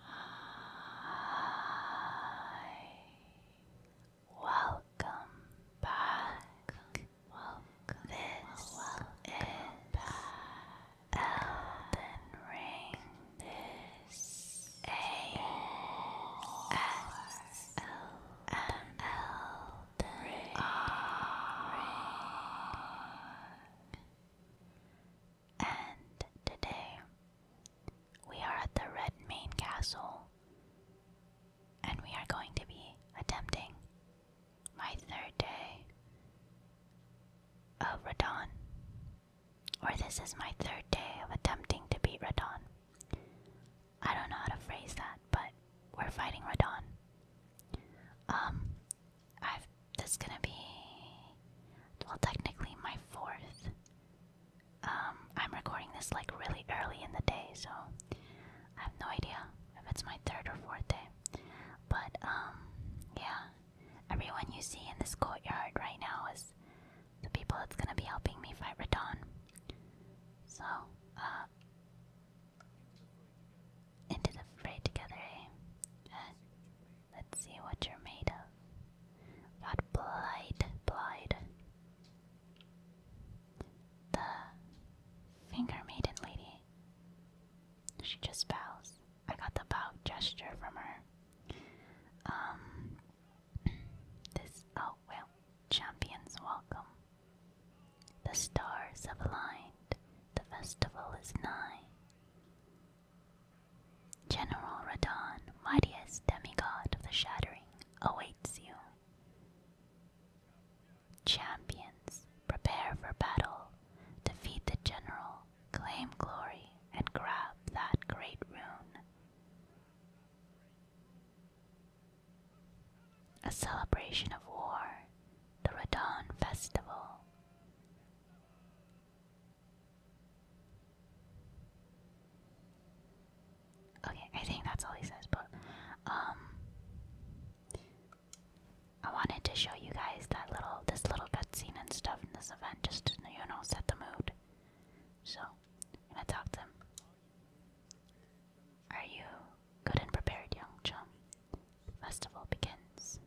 Hi. Welcome back. Welcome. This welcome back. Elden Ring. This S A S L M L And today we are at the Red Main Castle, and we are going to be attempting my third day of Radon. Or this is my third day of attempting to beat Radon. I don't know how to phrase that, but we're fighting Radon. Um, I've. That's gonna be. Well, technically, my fourth. Um, I'm recording this like really early in the day, so I have no idea if it's my third or fourth day. But, um, yeah. Everyone you see in this courtyard right now is the people that's gonna be helping me fight Radon. So, uh, into the fray together, eh? let's see what you're made of. Got blight, blight. The finger maiden lady. She just bows. I got the bow gesture from her. Um, this, oh champions welcome. The stars have aligned, the festival is nigh. General Radon, mightiest demigod of the Shattering, awaits you. Champions, prepare for battle, defeat the general, claim glory, and grab that great rune. A celebration of war, the Radon Festival. Okay, I think that's all he says, but um I wanted to show you guys that little this little cutscene and stuff in this event just you know set the mood. So I'm gonna talk to him. Are you good and prepared, young chum? Festival begins.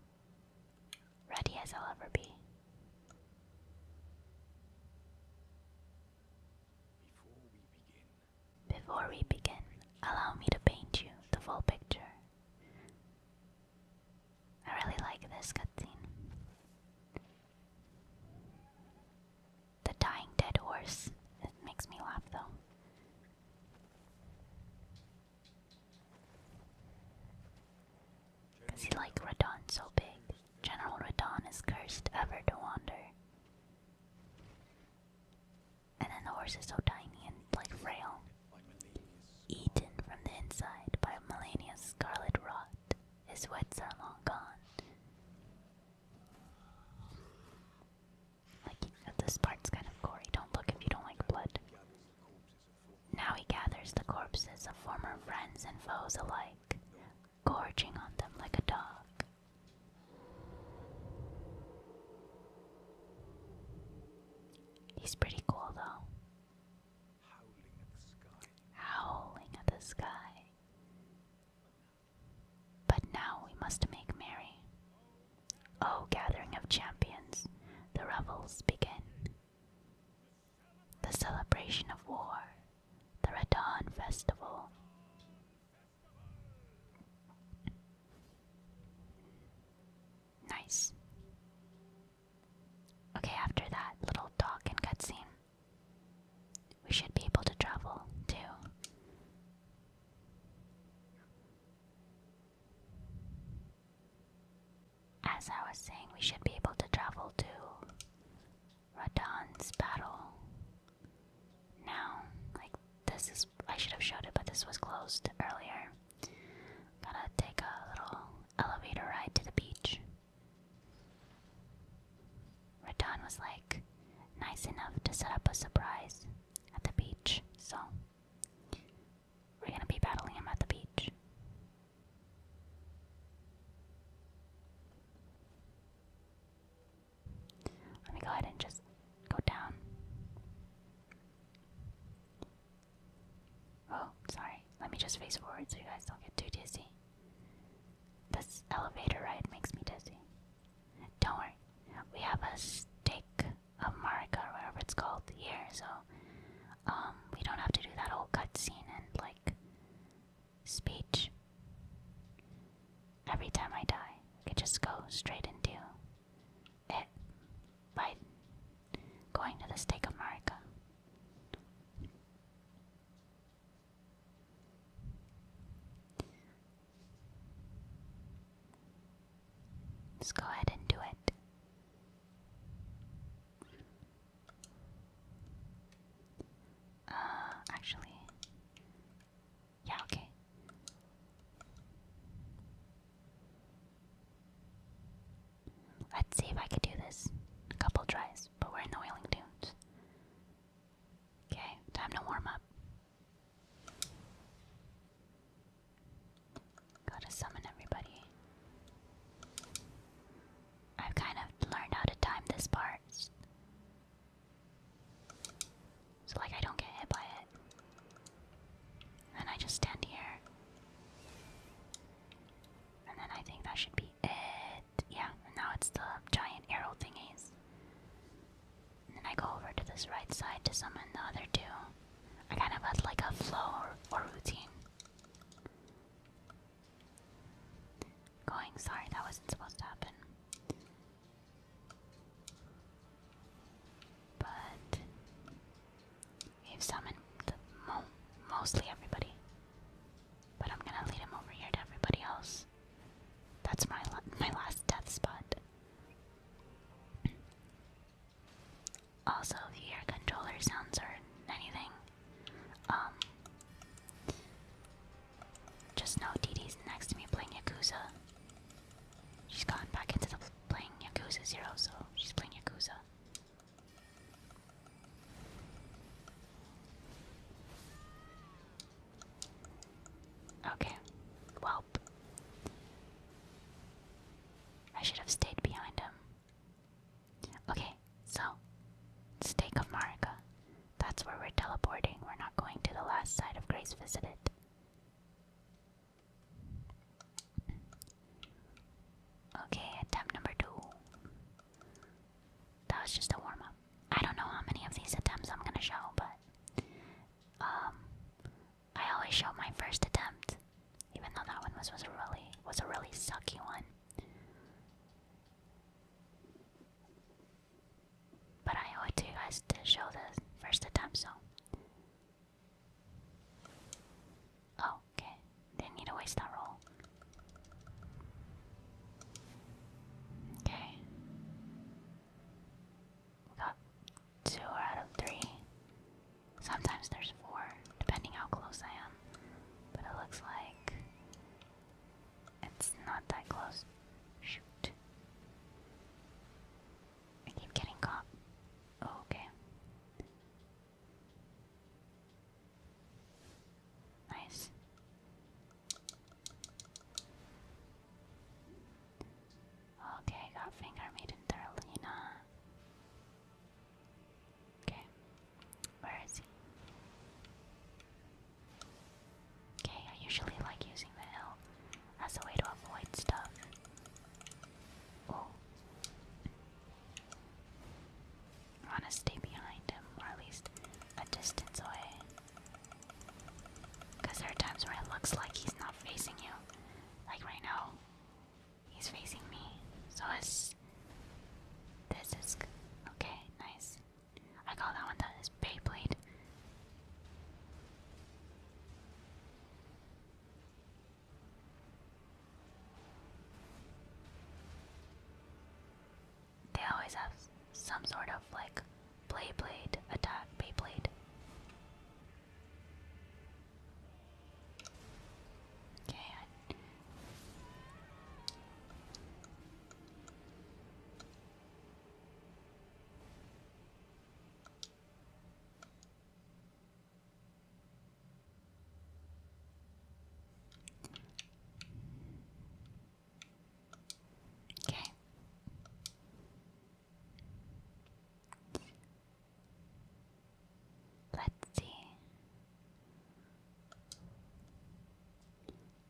Ready as I'll ever be. Before we begin, Before we begin allow me to paint you the full picture. I really like this cutscene. The dying dead horse. It makes me laugh though. he like Radon so big. General Radon is cursed ever to wander. And then the horse is so tiny and like frail. Eaten from the inside by Melania's scarlet rot, his wits are long gone. Like, this part's kind of gory. Don't look if you don't like blood. Now he gathers the corpses of former friends and foes alike, gorging on them like a dog. He's pretty cool, though. Howling at the sky. But now we must make merry. O oh, gathering of champions, the revels begin. The celebration of war, the Radon festival. Nice. Okay, after that little talk and cutscene, we should be able to travel too. As I was saying, we should be able to travel to Radon's battle now. Like, this is. I should have showed it, but this was closed earlier. Gotta take a little elevator ride to the beach. Radon was like nice enough to set up a surprise at the beach, so we're gonna be battling him at the beach. Let me go ahead and just go down. Oh, sorry. Let me just face forward so you guys don't get too dizzy. This elevator ride makes me dizzy. Don't worry, we have a stake of Marika or whatever it's called here, so um, we don't have to do that whole cutscene and like speech. Every time I die, I could just go straight into it by going to the stake of Marika. Let's go ahead and do it. Uh, actually, yeah, okay. Let's see if I could do this. A couple tries, but we're in the whaling tunes. Okay, time to warm up. Gotta summon everybody. I've kind of learned how to time this part. So, like, I don't get hit by it. And I just stand here. And then I think that should be it. Yeah, now it's the giant arrow thingies. And then I go over to this right side to summon the other two. I kind of had like a flow or, routine. Going, sorry, that wasn't supposed to happen. But we've summoned mostly everybody. But I'm gonna lead him over here to everybody else. That's my my last death spot. Also, if you hear controller sounds or anything, um, just know DD's next to me playing Yakuza. She's gone back into the playing Yakuza Zero, so she's playing Yakuza. Okay. Well, I should have stayed behind him. Okay, so Stake of Marika. That's where we're teleporting. We're not going to the last site of Grace visited. Okay, attempt number two. That was just a warm up. I don't know how many of these attempts I'm gonna show, but um, I always show my first attempt, even though that one was was a really was a really sucky one. But I owe it to you guys to show the first attempt, so. Oh, okay. Didn't need to waste that roll. Okay got two out of three. Sometimes there's four, depending how close I am. But it looks like it's not that close. Shoot. I keep getting caught. Oh, okay. Nice. Okay, I got Finger Maiden Darlena. Okay, where is he? Okay, I usually like using the hill as a way to avoid stuff. Oh. want to stay behind him, or at least a distance away. Because there are times where it looks like he's not facing you. Like right now, he's facing me. So it's. This is. good. Okay, nice. I call that one that is Beyblade they always have some sort of like blade blade attack, blade. Okay. Okay. Let's see.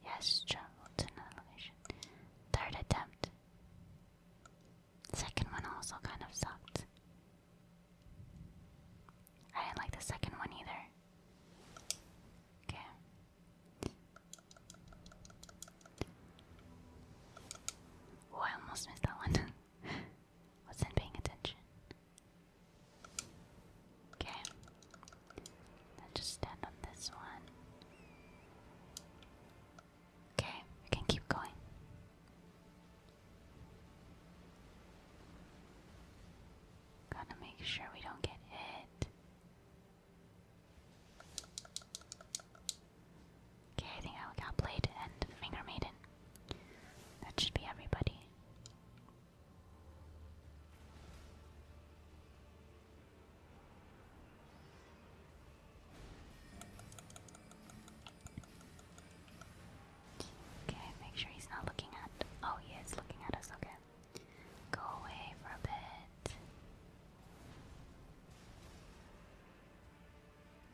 Yes, travel to another location. Third attempt. Second one also kind of sucked. I didn't like the second one either. Okay. Oh, I almost missed that one. Wasn't paying attention. Okay. I'll just stand on this one. Okay, we can keep going. Gotta make sure we don't get hit. Okay, I think I got Blade and Finger Maiden. That should be everybody. Okay, make sure he's not looking at. Oh, he is looking at us, okay. Go away for a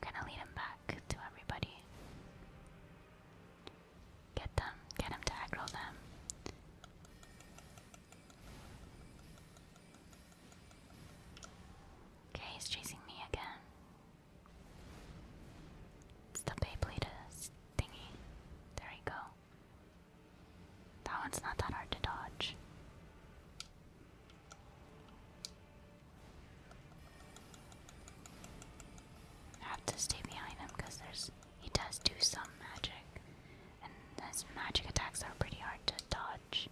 Gonna lead him back to everybody. Get them, get him to aggro them. Okay, he's chasing me again. It's the Beyblade thingy. There we go. That one's not that hard to dodge. have to stay behind him because there's he does do some magic, and his magic attacks are pretty hard to dodge.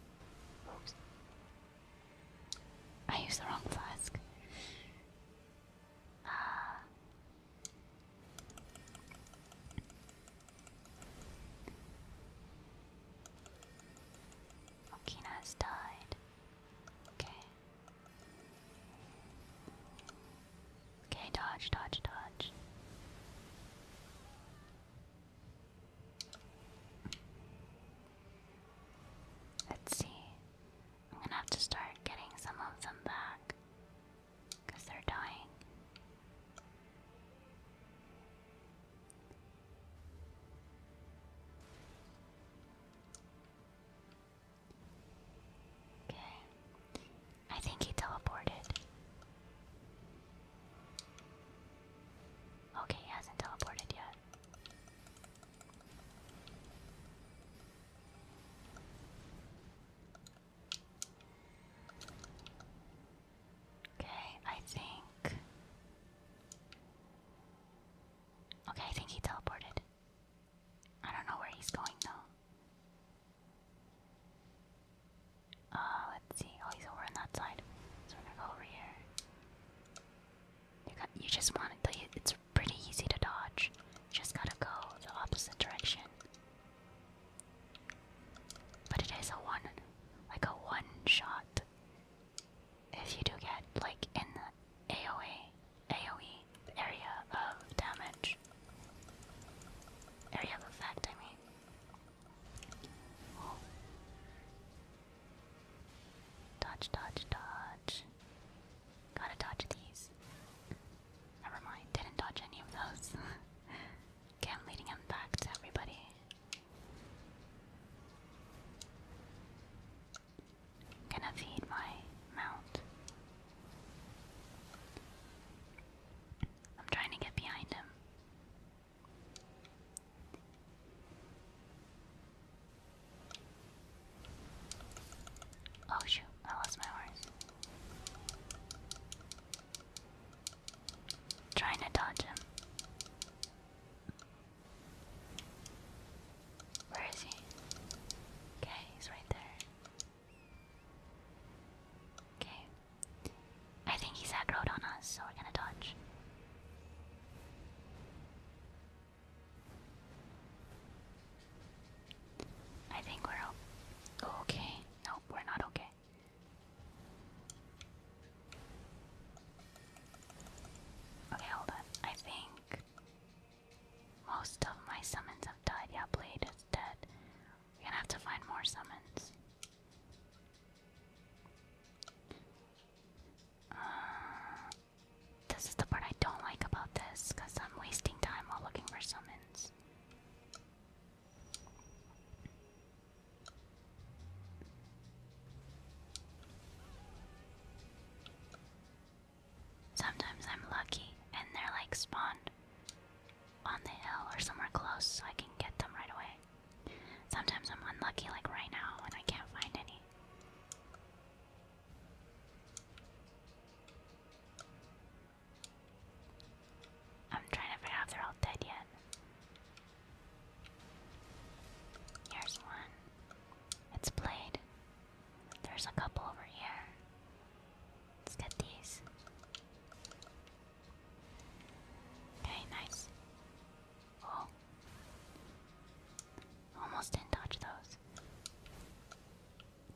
I used the wrong flask. Uh, Okina died. Okay. Okay, dodge, dodge, dodge. Let's see. I'm gonna have to start getting some of them back. Because they're dying. Okay. I think he teleported. Okay, he hasn't teleported yet. Okay, I think. Okay, I think he teleported. I don't know where he's going though. Uh, let's see. Oh, he's over on that side. So we're gonna go over here. You just want to. It's pretty easy to dodge. just gotta go the opposite direction. But it is a one, like a one shot. If you do get like in the AOA, AOE area of damage, area of effect, I mean. Dodge, dodge, dodge. Gotta dodge these. Never mind, didn't dodge any of those. okay, leading him back to everybody going feed my mount. I'm trying to get behind him. Oh shoot, I lost my horse. Trying to dodge him. Where is he? Okay, he's right there. Okay. I think he's aggroed on us, so we're gonna dodge. I think we're okay. Nope, we're not okay. Okay. Okay, hold I think most of my summons have died. Yeah, Blade is dead. We're gonna have to find more summons. Uh, this is the part I don't like about this, because I'm wasting time while looking for summons. Sometimes I'm lucky and they're like spawned on the hill or somewhere close so I can get them right away. Sometimes I'm unlucky, like right now, and I can't find any. I'm trying to figure out if they're all dead yet. Here's one. It's played. There's a couple over here. Let's get these. Okay, nice. Oh. Almost didn't dodge those.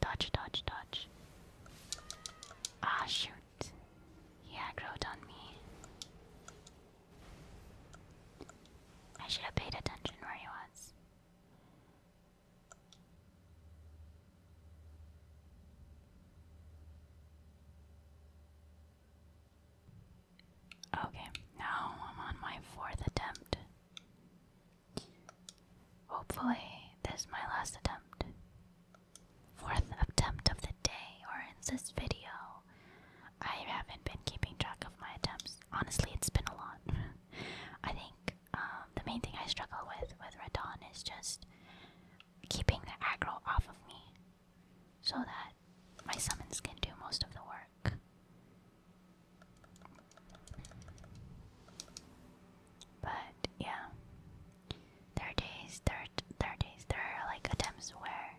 Dodge, dodge, dodge. Ah, shoot. He aggroed on me. I should have paid attention where he was. Okay, now I'm on my fourth attempt. Hopefully, this is my last attempt. Fourth attempt of the day, or in this video. I haven't been keeping track of my attempts. Honestly, it's been a lot. I think um, the main thing I struggle with with Radon is just keeping the aggro off of me so that my summons can do most of the work. But yeah. There are days, there are, there are days, there are like attempts where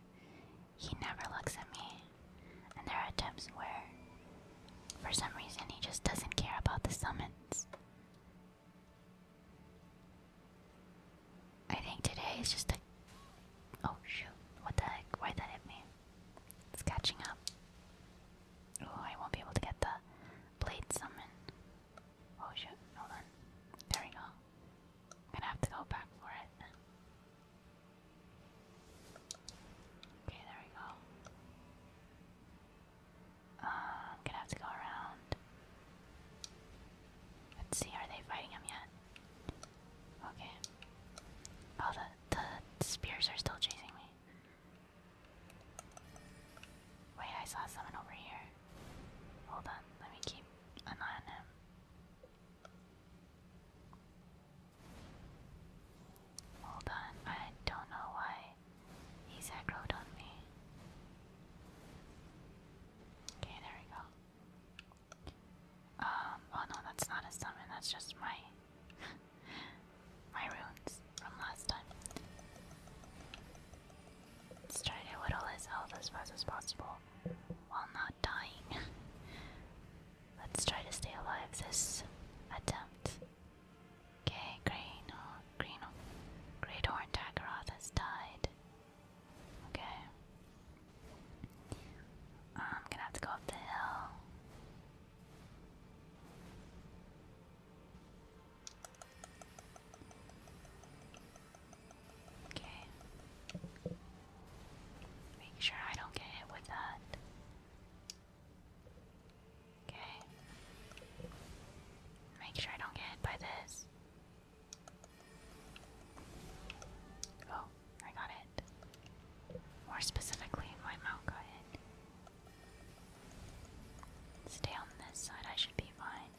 he never looks at me, and there are attempts where, for some reason, he just doesn't care about the summons. I think today is just a. Oh shoot! What the heck? Why that hit me? It's catching up. Oh, I won't be able to get the blade summon. Oh shoot! Hold on. There we go i gonna have to go back for it. Okay, there we go. Uh, gonna have to go around. Let's see, are they fighting him yet? Okay. Oh, the, the spears are still chasing me. Wait, I saw someone over here. Hold on, let me keep an eye on him. Hold on, I don't know why he's aggroed on me. Okay, there we go. Um, oh no, that's not a summon, that's just my my runes from last time. Let's try to whittle his health as fast as possible while not dying. Let's try to stay alive this attempt. Okay, green, oh, green, oh, great horn Tagaroth has died. Okay, I'm gonna have to go up the hill. Okay. Make sure I don't get hit with that. Okay. Make sure I don't get hit by this. Oh, I got it. More specifically, my mouth got hit. Stay on this side, I should be fine.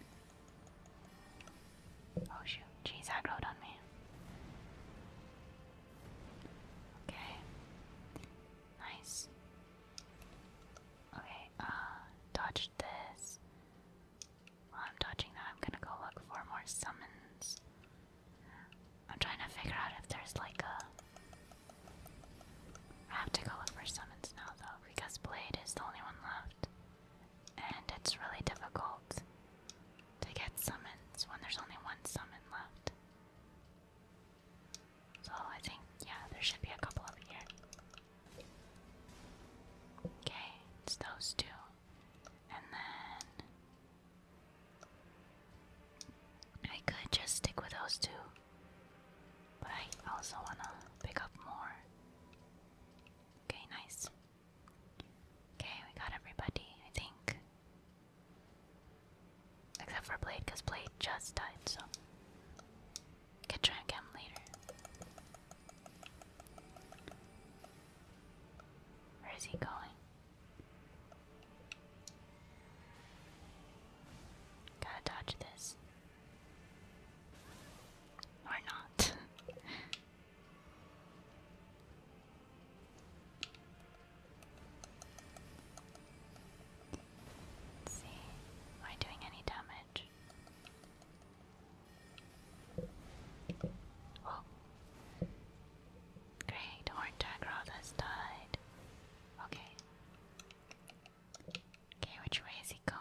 Oh shoot, Jeez, she's aggroed on me. Okay. Nice. Okay, uh, dodge this. I'm dodging that, I'm gonna go look for more summons. I'm trying to figure out if there's like a. I have to go look for summons now though, because Blade is the only one left. And it's really difficult to get summons when there's only one summon left. So I think, yeah, there should be a couple over here. Okay, it's those two. And then. I could just stick with those two. But I also want to pick up more. Okay, nice. Okay, we got everybody, I think. Except for Blade, because Blade just died, so. Could try again later. Where is he going? Gotta dodge this. Or not. see, am I doing any damage? Oh, great! Horntagrod has died. Okay. Okay, which way is he going?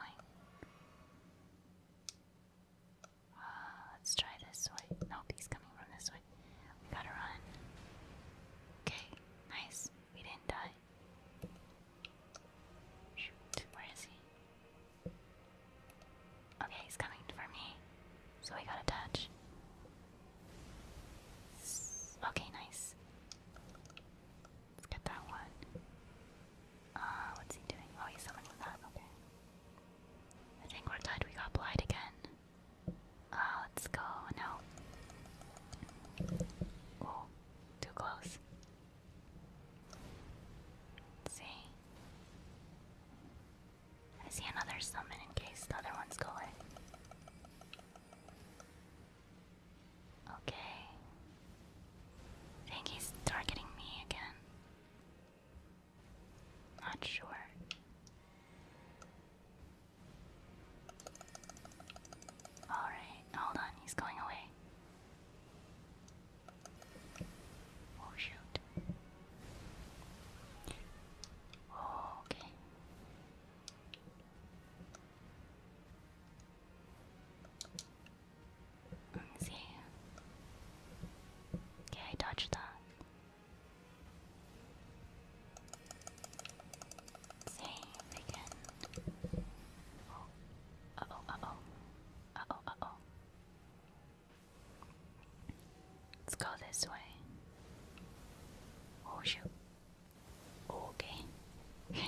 Uh, let's try this way. Nope, he's coming from this way. We gotta run. Okay, nice. We didn't die. Shoot, where is he? Okay, he's coming for me. So we gotta touch. Okay, nice. Let's get that one. Uh, what's he doing? Oh, he's summoning that. Okay. I think we're dead. We got blight again. Uh, let's go. No. too close. see. I see another summon in case the other one's going. Okay. think he's targeting me again. Not sure. Alright, hold on, he's going away. Oh shoot. Oh, okay. see. Okay, I dodged that. Save again. Oh. Uh oh, uh oh. Uh oh, oh. Let's go this way. Oh shoot. Okay.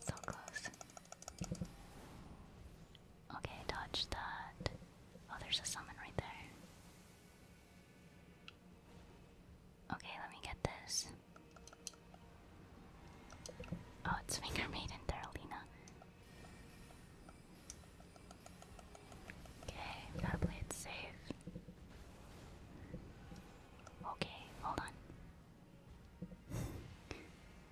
so close. Okay, dodge that. Oh, there's a summon right there. Okay, let me get this. Oh, it's Finger Maiden there, Okay, gotta play it safe. Okay, hold on.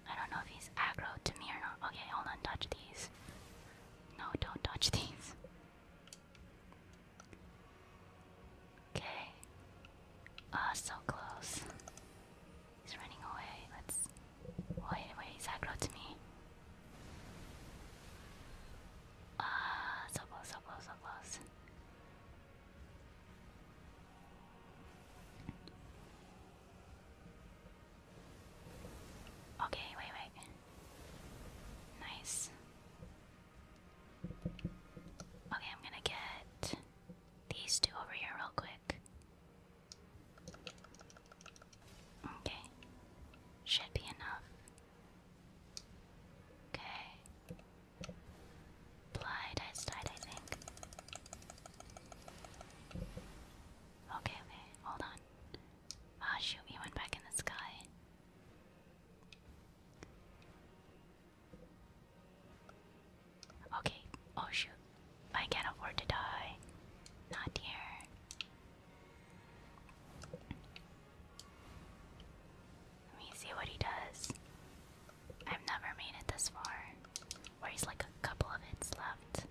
I don't know if he's aggro to me or not. Okay, hold on, touch these. No, don't touch these. Okay. Ah, so close. He's running away. Let's wait. Wait, he's aggro to me. Ah, so close, so close, so close. Okay, wait, wait. Nice. Okay, I'm gonna get these two over here real quick. Okay. Should be enough. Okay. Blind eyes died, I think. Okay, okay, hold on oh, shoot, he went back in the sky. Okay, oh shoot. I can't afford to die. Not here. Let me see what he does. I've never made it this far. Where he's like a couple of hits left.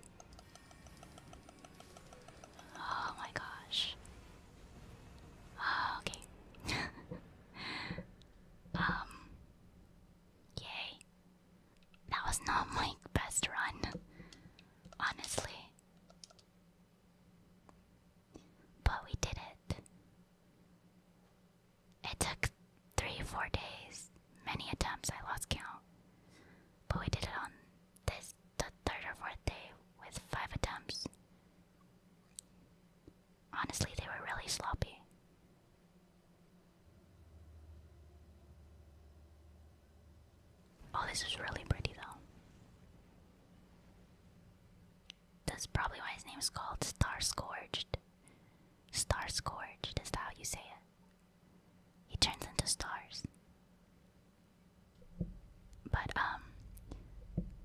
Oh my gosh. Ah, okay. um. Yay. That was not my best run, honestly. But we did it. It took three, four days, many attempts, I lost count. But we did it on this the third or fourth day with five attempts. Honestly, they were really sloppy. Oh, this is really pretty though. That's probably why his name is called Star Scourged. Star Scourged, is how you say it? He turns into stars. But um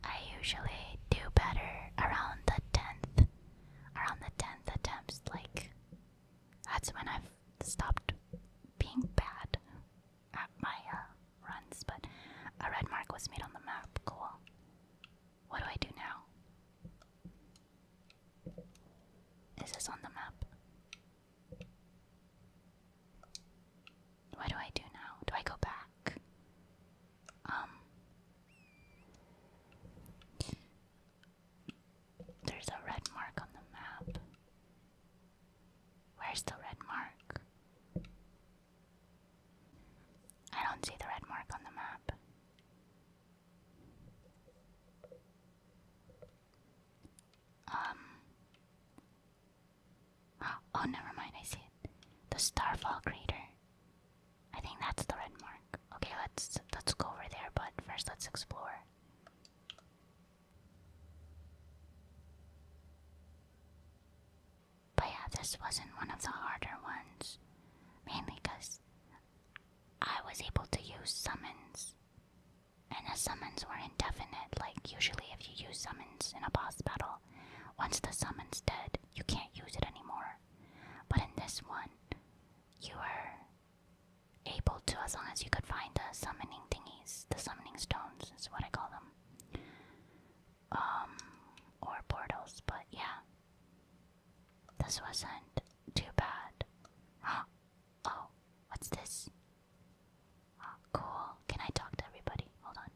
I usually do better around the tenth. Around the tenth attempts, like that's when I've stopped being bad at my uh, runs. But a red mark was made on the map. Cool. What do I do now? Is this on the map? What do I do now? Do I go back? Um. There's a red mark on the map. Where's the red mark? I don't see the red mark on the map. Um. Oh, never mind. I see it. The Starfall Crater. I think that's the red mark. Okay, let's let's go over there. But first, let's explore. But yeah, this wasn't one of the harder ones, mainly because I was able to use summons and the summons were indefinite, like usually if you use summons in a boss battle, once the summon's dead, you can't use it anymore. But in this one, you were able to, as long as you could find the summoning thingies, the summoning stones is what I call them. Um, or portals, but yeah. This wasn't too bad. oh, what's this? Oh, cool. Can I talk to everybody? Hold on.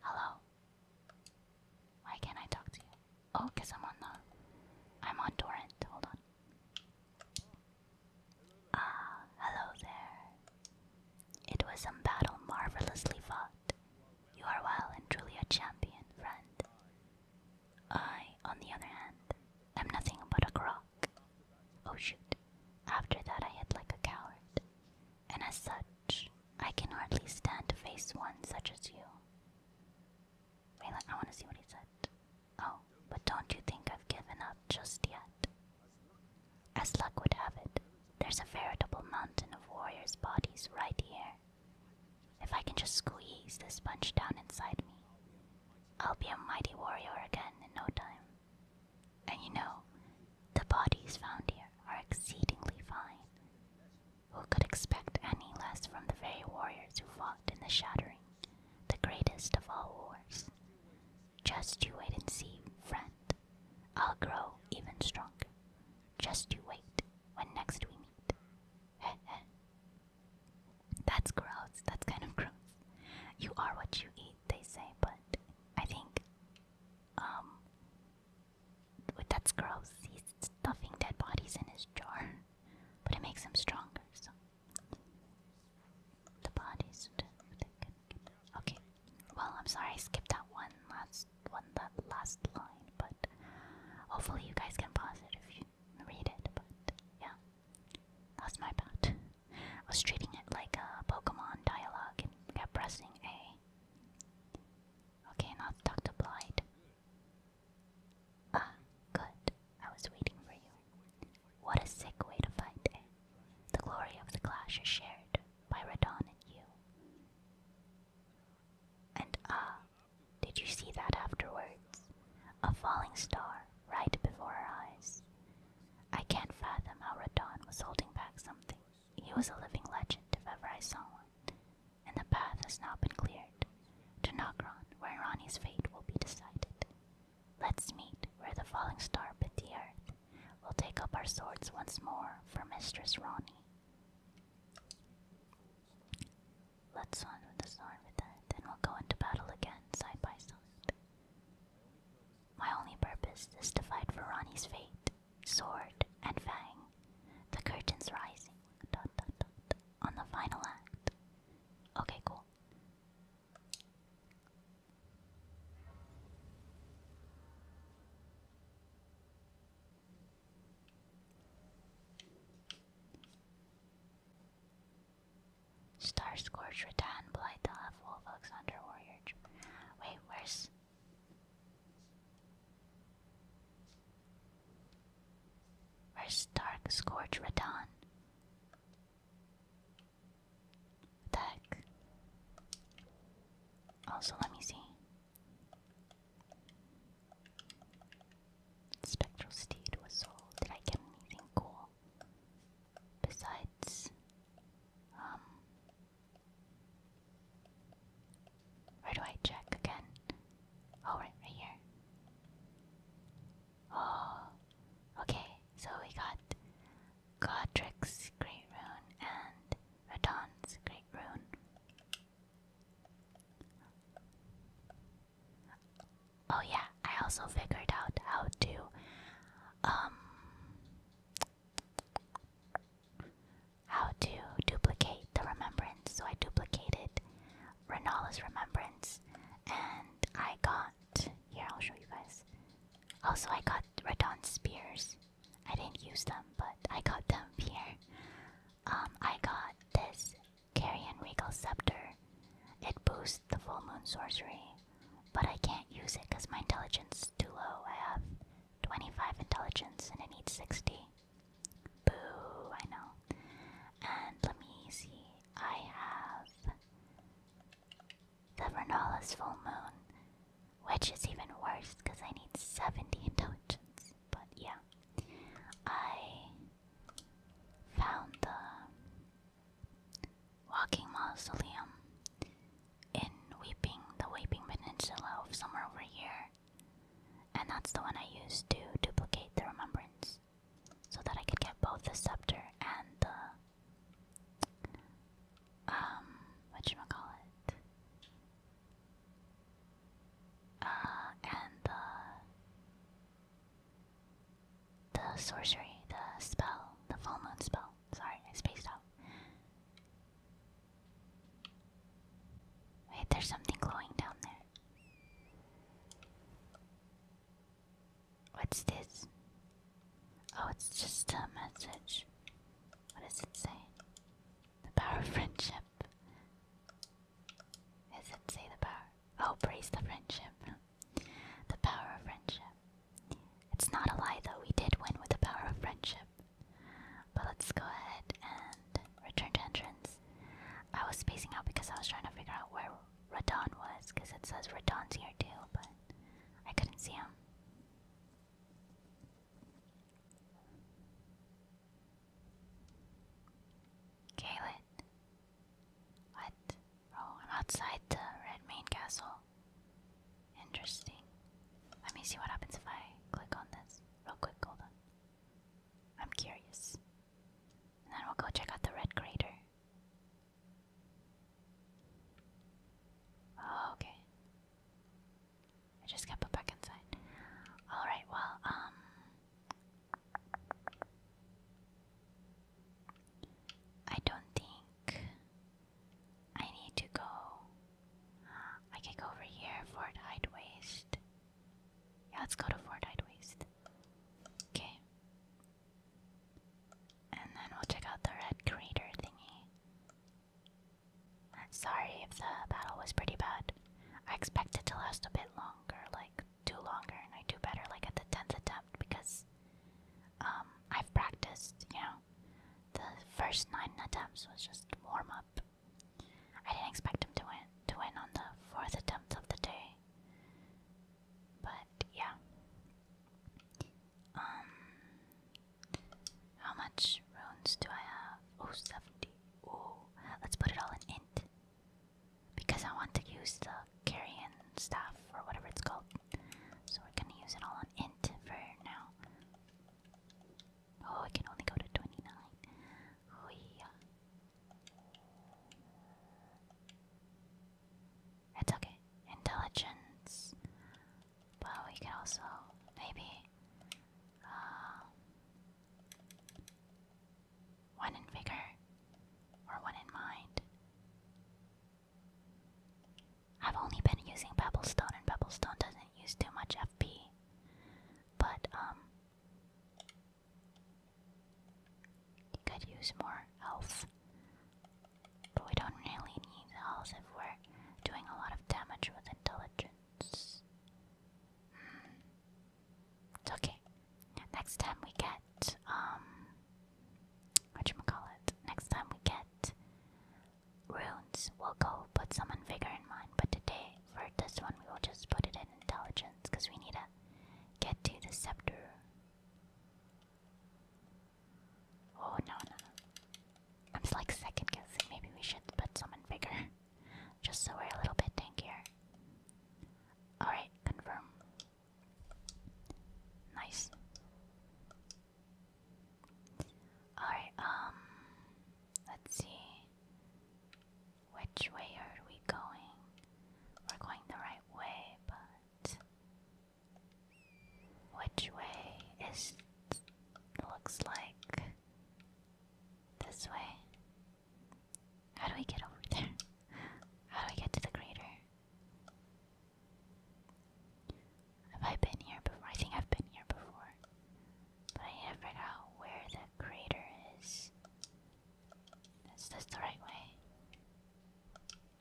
Hello. Why can't I talk to you? Oh, cause I'm on I'm on torrent. Hold on. Ah, hello there. It was some battle marvelously fought. You are well and truly a champion, friend. I, on the other hand, am nothing but a crock. Oh shoot. After that, I hid like a coward, and as such, I can hardly stand to face one such as you. Wait, I want to see what he said. Oh, but don't you think I've given up just yet? As luck would have it, there's a veritable mountain of warriors' bodies right here. If I can just squeeze this bunch down inside me, I'll be a mighty warrior again in no time. And you know, the bodies found here are exceedingly fine. Who could expect any less from the very warriors who fought in the Shattering, the greatest of all wars? Just you wait and see, friend. I'll grow even stronger. Just you wait when next we meet. Heh heh. That's gross. That's kind of gross. You are what you eat, they say, but I think, um, that's gross. He's stuffing dead bodies in his jar, but it makes him stronger, so. The bodies. Okay. Well, I'm sorry I skipped that one last one that last line, but hopefully you guys can pause it if you read it. But yeah, that's my bad. I was treating it like a Pokemon dialogue and kept pressing A. Okay, now talk to Blight. Ah, good. I was waiting for you. What a sick way to fight, The glory of the clash is shared by Radon and you. And ah, did you see that afterwards? A falling star right before our eyes. I can't fathom how Radon was holding back something. He was a living legend if ever I saw one, and the path has now been cleared to Nagron, where Ronnie's fate will be decided. Let's meet where the falling star bit the earth. We'll take up our swords once more for Mistress Ronnie. Let's on the sword with that, then we'll go into battle again side by side. My only purpose is to fight for Ronnie's fate, sword, and fang. The curtain's rising. on the final act. Okay, cool. Starscourge, Rattan, Blight, half Wolf, Alexander, Warrior. Wait, where's. Where's Stark, Scourge, Radon? What Also, let me see. Spectral Steed was sold. Did I get anything cool? Besides, um, where do I check again? Oh, right, right here. Oh, okay. So we got Godric's Great Rune and Radon's Great Rune. Oh yeah, I also figured out how to um how to duplicate the remembrance. So I duplicated Renala's remembrance and I got here I'll show you guys. Also I got Radon spears. I didn't use them but I got them here. Um I got this Carrion Regal Scepter. It boosts the full moon sorcery but I can't use it because my intelligence is too low. I have 25 intelligence and I need 60. Boo, I know. And let me see, I have the Renala's full moon, which is even worse because I need 70 intelligence. But yeah, I found the Walking Mausoleum in Weeping, the Weeping Peninsula of somewhere over here. And that's the one I used to duplicate the remembrance so that I could get both the scepter and the. Um, whatchamacallit? Uh, and the. The sorcery, the spell, the full moon spell. Sorry, I spaced out. Wait, there's something glowing down there. What's this? Oh, it's just a message. What does it say? The power of friendship. Does it say the power? Oh, praise the friendship. The power of friendship. It's not a lie though, we did win with the power of friendship. But let's go ahead and return to entrance. I was spacing out because I was trying to figure out where Radon was, because it says Radon's here too, but I couldn't see him. Kaelin. What? Oh, I'm outside the red main castle. Interesting. Let me see what happens if I click on this. Real quick, hold on. I'm curious. then we'll go check out the red crater. Oh, okay. I just got put back inside. Alright, well, um. I don't think I need to go. I can go over here, Fort Hyde Waste. Yeah, let's go to Fort Hyde Waste. Okay. And then we'll check out the red crater thingy. Sorry if the battle was pretty bad. I expect it to last a bit longer, like do longer, and I do better like at the tenth attempt because um I've practiced, you know the first nine attempts was just warm up. I didn't expect him to win to win on the fourth attempt of the day. But yeah. Um how much runes do I have? Oh Oh let's put it all in int. Because I want to use the carrion staff or whatever it's called. So we're gonna use it all on int for now. Oh, it can only go to 29. Oh, yeah. It's okay. Intelligence. But we could also maybe uh, one in vigor or one in mind. I've only been using Pebblestone, and Pebblestone doesn't use too much FP. But, um, you could use more health. But we don't really need health if we're doing a lot of damage with intelligence. Hmm. It's okay. Next time we get, um, whatchamacallit? Next time we get runes we'll go put someone bigger in mind, but today for this one we will just put it in intelligence because we need to get to the scepter. Oh no no no. I'm just like second guessing maybe we should put someone bigger. Just so we're a little bit tankier. Alright, confirm. Nice. Alright, um, let's see. Which way are we going? We're going the right way, but. Which way is. looks like. this way? How do we get over there? How do we get to the crater? Have I been here before? I think I've been here before. But I need to where the crater is. Is this the right way?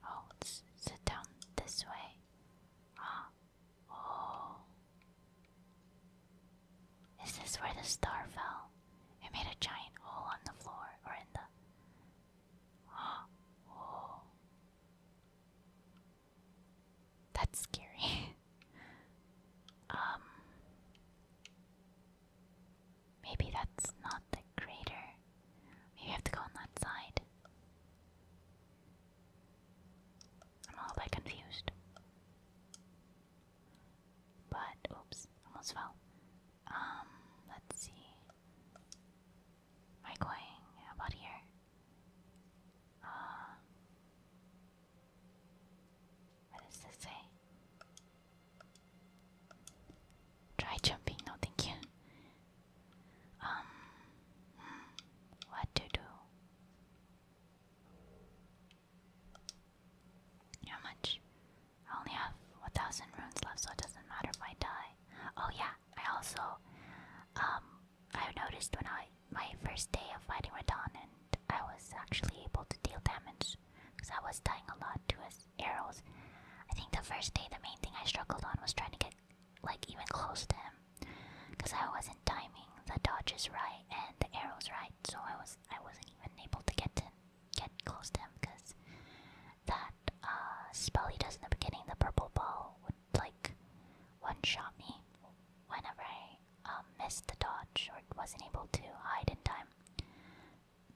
Oh, it's, down this way. Ah. Oh. Is this where the star fell? It made a giant hole on the floor or in the. Ah. Oh. That's scary. um Maybe that's not the crater. Maybe have to go on that side. I'm all a confused. But oops, almost fell. Um, let's see i Am going? about here? Uh, what does this say? Try jumping. No, thank you. Um, hmm, what to do? How much? I only have 1,000 runes left, so it doesn't matter if I die. Oh, yeah, I also um I noticed when I my first day of fighting Radon and I was actually able to deal damage because I was dying a lot to his arrows. I think the first day the main thing I struggled on was trying to get like even close to him because I wasn't timing the dodges right and the arrows right, so I was I wasn't even able to get to get close to him because that uh, spell he does in the beginning, the purple ball, like one-shot me whenever I um, missed the dodge or wasn't able to hide in time.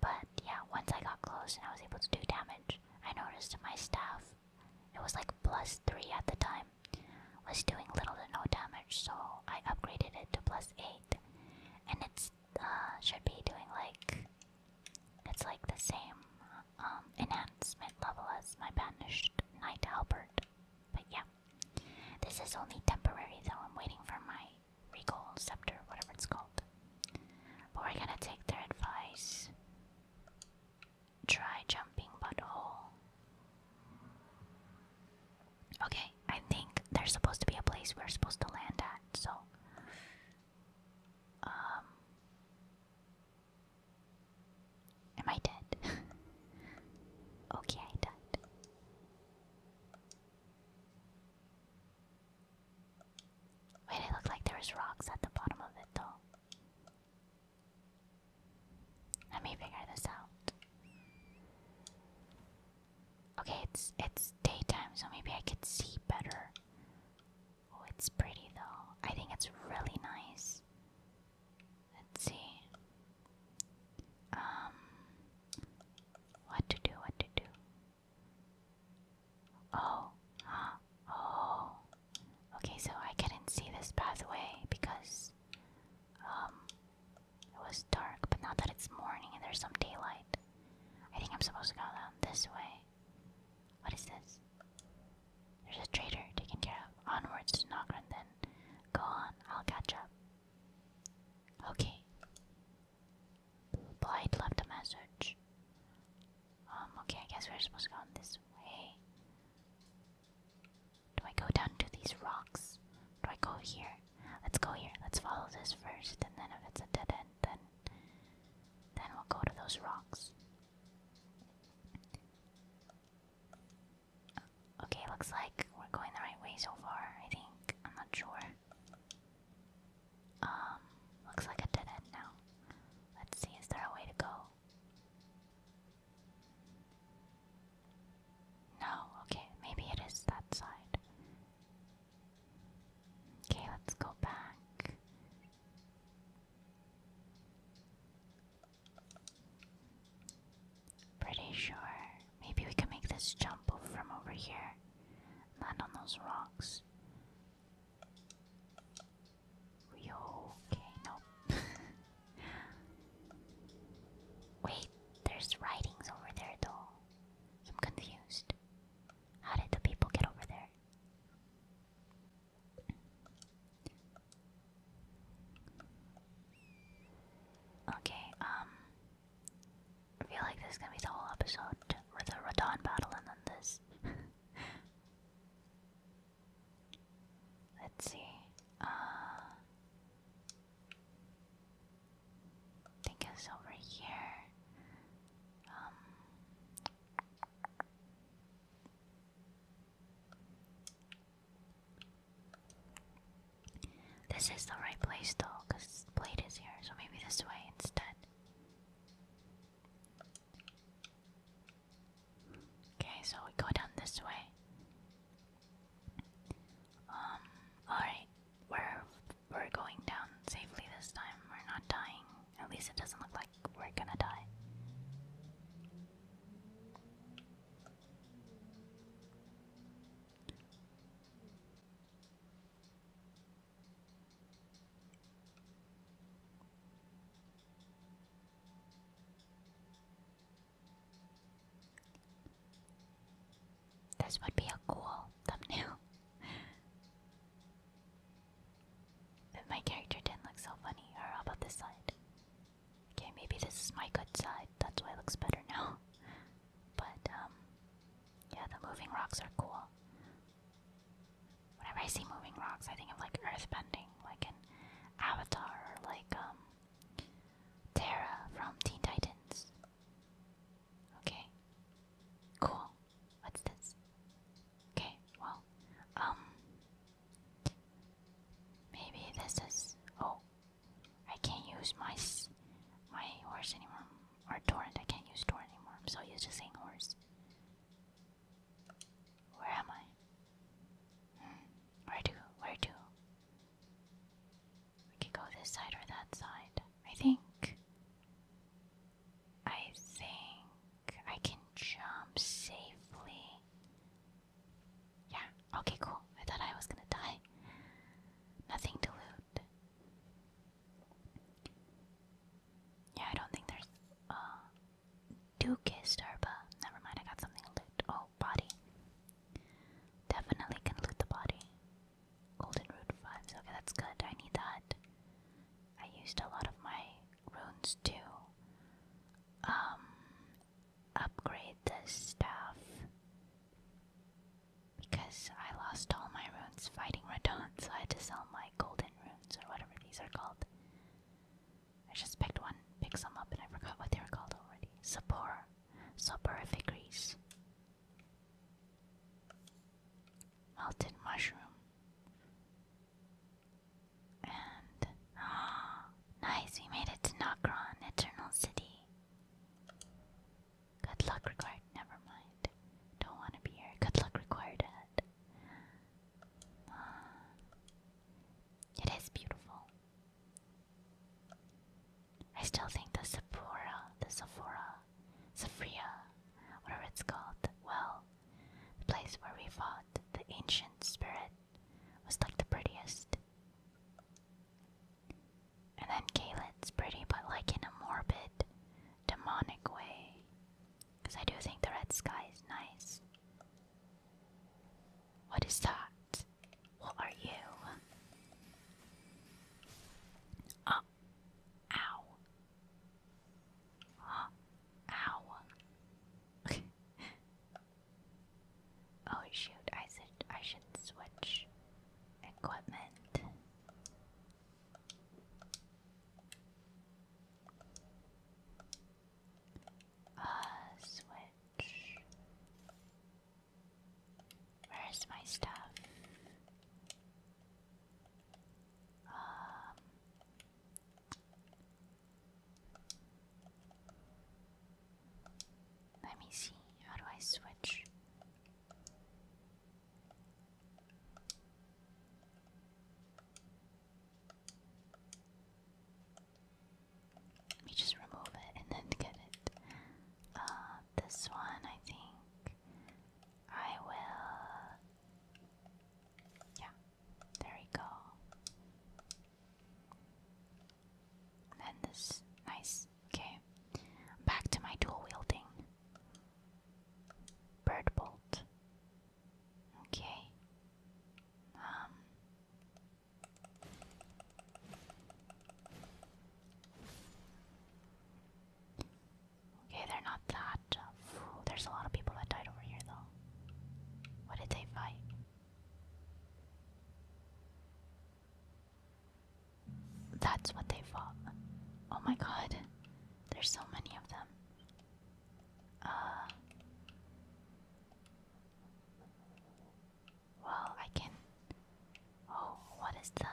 But yeah, once I got close and I was able to do damage, I noticed my staff, it was like plus 3 at the time, was doing little to no damage, so I upgraded it to plus 8. And it's uh, should be doing like, it's like the same um, enhancement level as my banished knight Albert. But yeah, this is only temporary though. I'm waiting for my regal scepter, whatever it's called. But we're gonna take their advice. Try jumping butthole. Okay, I think there's supposed to be a place we're supposed to land at, so. Um, Am I dead? okay, I died. Wait, it looked like there was rocks at the bottom of it though. Let me figure this out. Okay, it's it's daytime, so maybe I could see better. Oh, it's pretty though. I think it's really nice. Let's see. Um, what to do? What to do? Oh, huh, oh. Okay, so I couldn't see this pathway because um, it was dark. But now that it's morning and there's some daylight, I think I'm supposed to go down this way. What is this? There's a traitor taken care of. Onwards to Nogran then. Go on, I'll catch up. Okay. Blight left a message. Um, okay, I guess we're supposed to go on this way. Do I go down to these rocks? Do I go here? Let's go here. Let's follow this first, and then if it's a dead end, then then we'll go to those rocks. Okay, looks like we're going the right way so far, I think. I'm not sure. Um, looks like a dead end now. Let's see, is there a way to go? No, okay, maybe it is that side. Okay, let's go back. Pretty sure. Maybe we can make this jump from over here. Land on those rocks. Yo, okay, nope. Wait, there's writings over there though. I'm confused. How did the people get over there? Okay, um I feel like this is gonna be the whole episode with the Radon battle and then this. Let's see. Uh I think it's over here. Um this is the right place though, because Blade is here, so maybe this way instead. Okay, so we go down this way. Um, alright. We're we're going down safely this time. We're not dying. At least it doesn't look like we're gonna die. This would be a cool thumbnail. But my character didn't look so funny. Or about this side? Okay, maybe this is my good side. That's why it looks better now. But, um, yeah, the moving rocks are cool. Whenever I see moving rocks, I think of like earthbending, like an Avatar like, um, Terra from Teen Titans. Okay. Cool. What's this? Okay, well, um, Maybe this is. Oh, I can't use my my horse anymore, or torrent. I can't use torrent anymore. I'm so used to saying horse. Where am I? Hmm. Where to? Where do We can go this side or that side. I think. I think I can jump safely. Yeah, okay, cool. I thought I was gonna die. Nothing to loot. Yeah, I don't think there's. Uh, Duke Never mind, I got something loot. Oh, body. Definitely can loot the body. Golden root vibes. Okay, that's good. I need that. I used a lot of my runes to um upgrade this stuff. Because I lost all my runes fighting Radon, so I had to sell my golden runes or whatever these are called. I just picked one, picked some up, and I forgot what they were called already. Sapor. Soporific grease. Melted mushroom. And ah, nice, we made it to Nokron, Eternal City. Good luck required. Never mind. Don't want to be here. Good luck required it is beautiful. I still think the Sephora, the Sephora, Sephria, whatever it's called, well, the place where we fought the ancient spirit was like the prettiest. And then Caelid's pretty, but like in a morbid, demonic way. Because I do think the red sky is nice. What is that? What are you? Oh. Ow. Oh. Ow. Oh shoot, I should I should switch equipment. Uh switch. Where's my stuff? Um, let me see, how do I switch? Let me just remove it and then get it. Uh, this one, I think I will. Yeah, there we go. And this. Nice. Okay. Back to my dual wielding. Bird bolt. Okay. Um, okay, they're not that. Uh, there's a lot of people that died over here, though. What did they fight? That's what they fought. Oh my god. There's so many of them. Uh, well, I can Oh, what is that?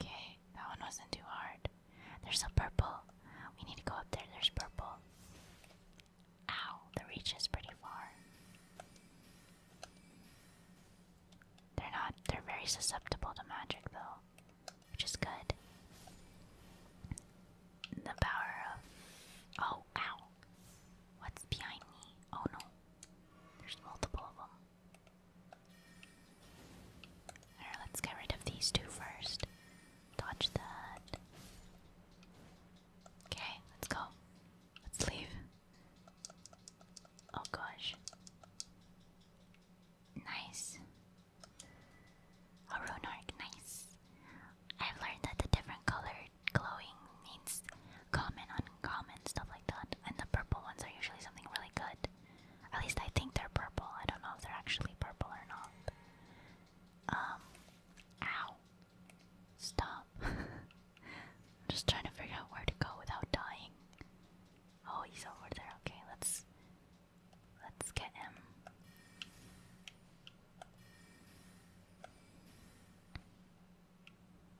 Okay, that one wasn't too hard. There's a purple. We need to go up there. There's purple. Ow, the reach is pretty far. They're not, they're very susceptible to magic though, which is good. The power of. Oh, ow. What's behind me? Oh no. There's multiple of them. Alright, let's get rid of these two first. Dodge that. Okay, let's go. Let's leave. Oh gosh. Nice. A runark, nice. I've learned that the different colored glowing means common, uncommon, stuff like that. And the purple ones are usually something really good. At least I think they're purple. I don't know if they're actually purple or not. Um, ow. Stop. I'm just trying to figure out where to go without dying. Oh, he's over there. Okay, let's let's get him.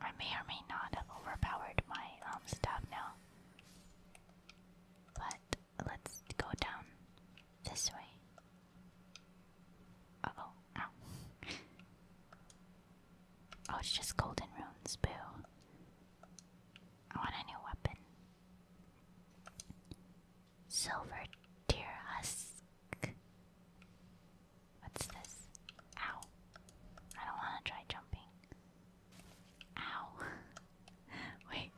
I may or may not have overpowered my um staff now. But let's go down this way. oh, ow. oh, it's just golden runes, boo. I want a new weapon. Silver deer husk. What's this? Ow. I don't want to try jumping. Ow. Wait.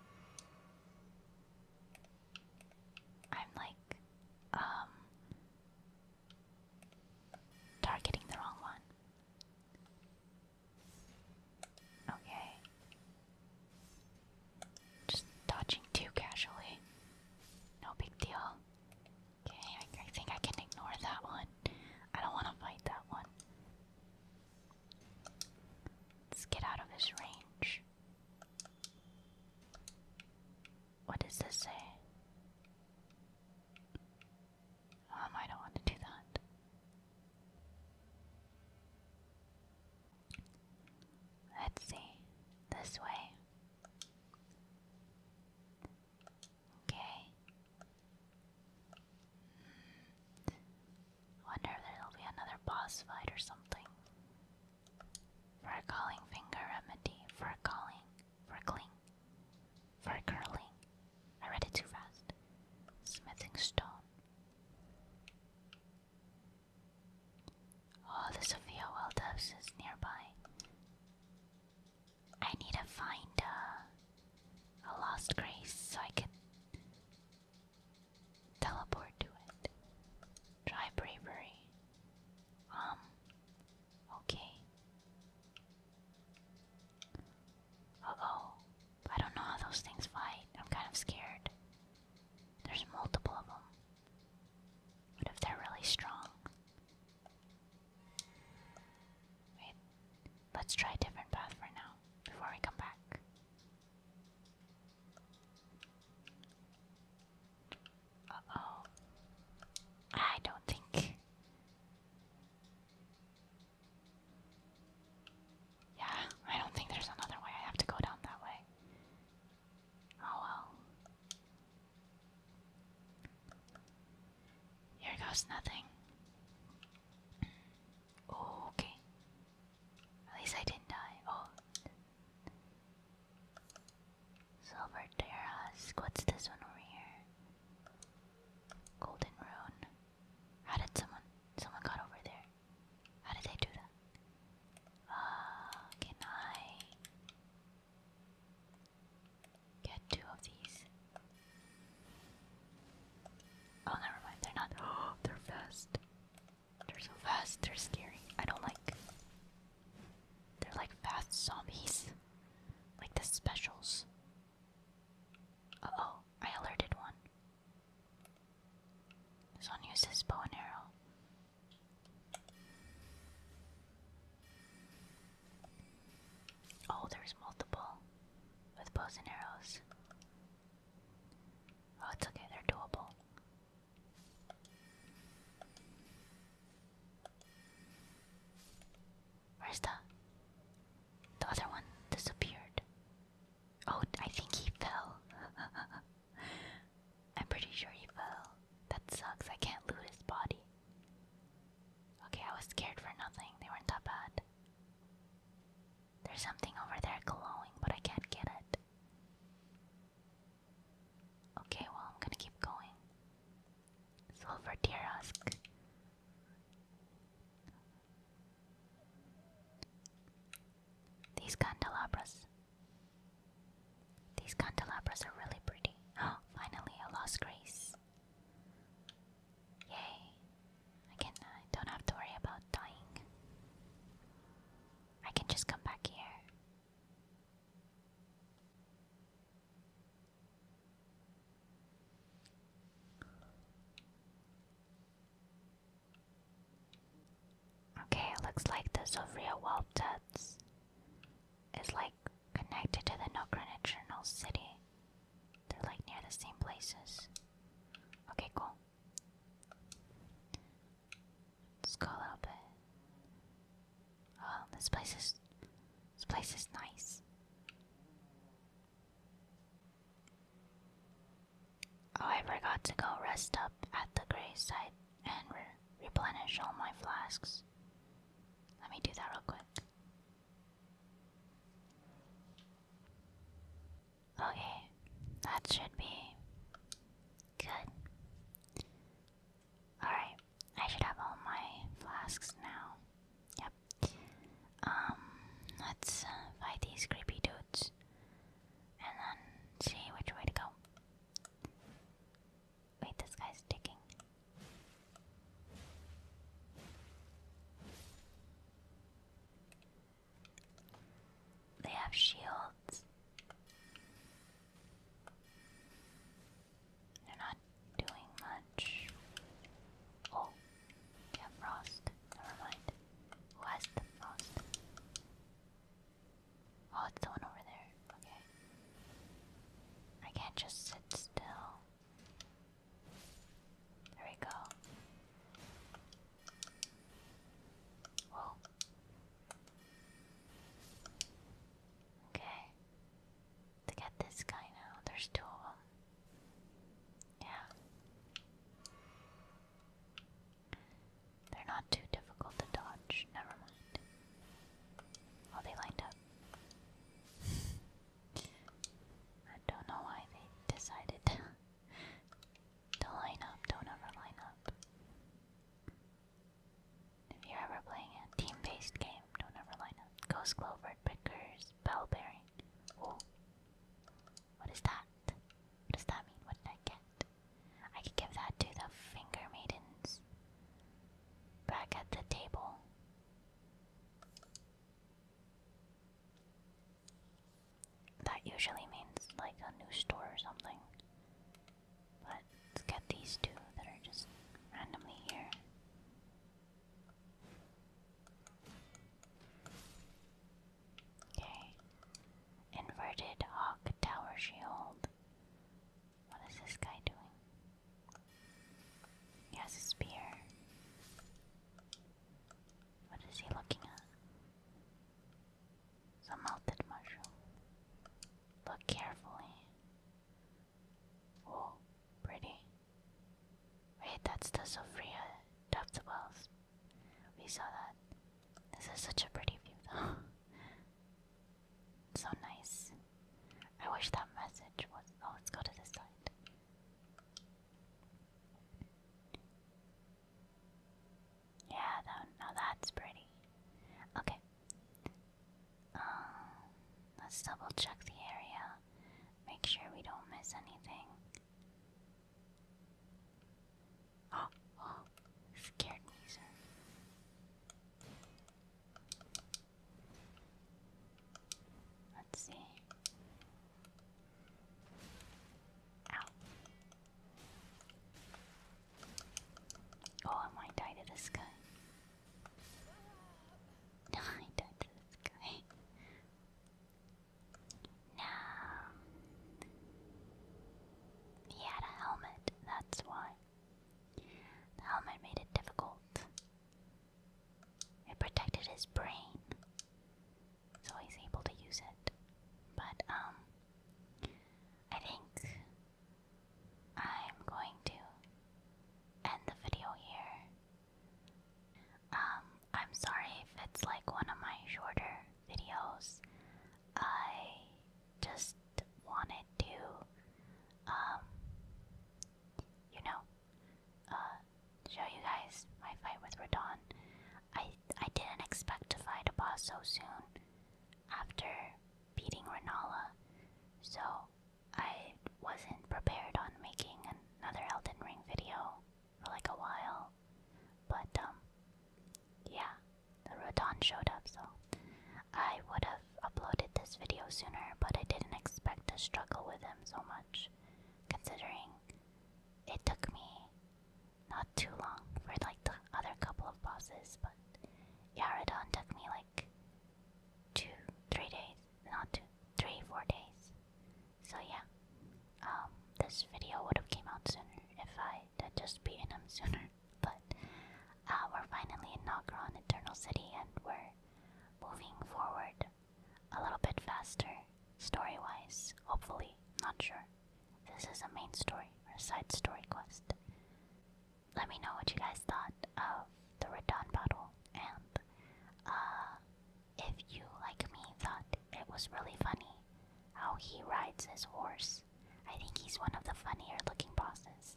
I'm like, um, targeting the wrong one. Okay. Just dodging too casually. No big deal. Okay, I, think I can ignore that one. I don't want to fight that one. Let's get out of his range. What does this say? Um, I don't want to do that. Let's see. This way. Okay. Hmm. Wonder if there'll be another boss fight or something. For calling finger remedy. For calling. For cling. curling. I read it too fast. Smithing stone. Oh, the Sophia Wildebs is nearby. I need to find uh, a lost grace so I can teleport to it. Try bravery. Um, okay. Uh oh. I don't know how those things fight. I'm kind of scared. There's multiple of them. What if they're really strong? Wait, let's try a different path for now before we come back. Uh oh. I don't think. Yeah, I don't think there's another way. I have to go down that way. Oh well. Here goes nothing. Oh, okay. At least I didn't die. Oh. Silver Terrace. What's this one over here? Golden Rune. How did someone. Someone got over there. How did they do that? Uh, can I. Get two of these. Oh, never mind. They're not. they're fast. They're so fast. They're scary. I don't like. They're like fast zombies, like the specials. Uh oh, I alerted one. This one uses bow and arrow. Oh, there's multiple with bows and arrows. Oh, it's okay, they're doable. Where's the the other one disappeared? Oh, I think he fell. I'm pretty sure he fell. That sucks. I can't loot his body. Okay, I was scared for nothing. They weren't that bad. There's something over there glowing, but I can't get it. Okay, well, I'm gonna keep going. Silver Tear These candelabras. These candelabras are really pretty. Oh, finally, I lost grace. Yay. I can don't have to worry about dying. I can just come back here. Okay, it looks like the Zovria Wall is like connected to the Nocturnal City. They're like near the same places. Okay, cool. Let's go a little bit. Oh, this place is this place is nice. Oh, I forgot to go rest up at the gravesite and replenish all my flasks. Let me do that real quick. Okay, that should be good. Alright, I should have all my flasks now. Yep. Um, let's fight uh, these creepy dudes and then see which way to go. Wait, this guy's digging. They have shields. They're not doing much. Oh, yeah, frost. Never mind. Who has the frost? Oh, it's the one over there. Okay. I can't just sit still. There we go. Whoa. Okay. To get this guy now, there's two of them. Yeah. They're not too difficult to dodge. Never mind. Oh, they lined up. I don't know why they decided to line up, don't ever line up. If you're ever playing a team based game, don't ever line up. Ghost Clover, Pickers, Bell Bearing. Oh. What is that? What does that mean? What did I get? I could give that to the Finger Maidens. Back at the table. That usually means like a new store or something. But get these two that are just randomly here. Okay. Inverted Hawk Tower Shield. What is this guy doing? He has a spear. What is he looking at? It's melted mushroom. Look carefully. Oh, pretty. Wait, that's the Sophia Depth We saw that. This is such a pretty view, though. so nice. I wish that message was. Oh, let's go to this side. Yeah, that, now that's pretty. Okay. Um, let's double check the area. Make sure we don't miss anything. Oh, oh, scared me, sir. Let's see. Ow. Oh, I might to this guy. No, I died to this guy. No. He had a helmet, that's why. The helmet made it difficult. It protected his brain so he's able to use it. But um, I think I'm going to end the video here. Um, I'm sorry if it's like one of my shorter videos. I just wanted to, um, you know, uh, show you guys my fight with Radon. I I didn't expect to fight a boss so soon after beating Renala, so I wasn't prepared on making another Elden Ring video for like a while. But um yeah, the Radon showed up so I would have uploaded this video sooner, but I didn't expect to struggle with him so much, considering it took me not too long for like the other couple of bosses, but Yaradon took me like two, three days, not two, three, four days. So yeah, um, this video would have came out sooner if I had just beaten him sooner. But uh, we're finally in Nogron Eternal City, and we're moving forward a little bit faster, story-wise. Hopefully, not sure this is a main story or a side story quest. Let me know what you guys thought of the Radon battle and uh, if you, like me, thought it was really funny how he rides his horse. I think he's one of the funnier looking bosses.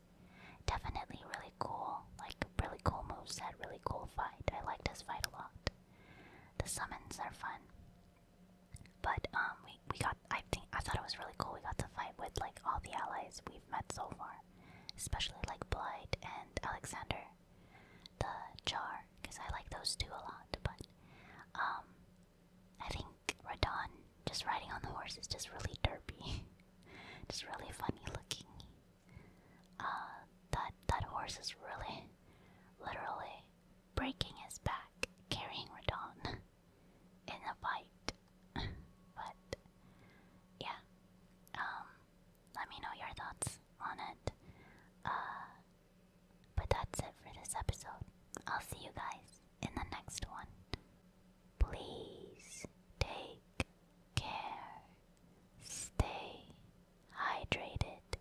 Definitely really cool, like really cool moveset, really cool fight. I liked his fight a lot. The summons are fun. But um, we we got. I think I thought it was really cool. We got to fight with like all the allies we've met so far, especially like Blight and Alexander, the Jar, because I like those two a lot. But um, I think Radon just riding on the horse is just really derpy, just really funny looking. Uh, that that horse is really, literally breaking his back carrying Radon in a fight. but yeah, um, let me know your thoughts on it. Uh, but that's it for this episode. I'll see you guys in the next one. Please take care. Stay hydrated,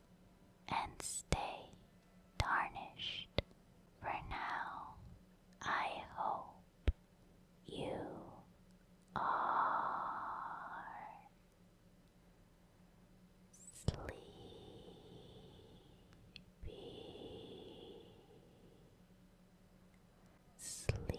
and stay tarnished. For now, I hope you are sleepy. Sleepy.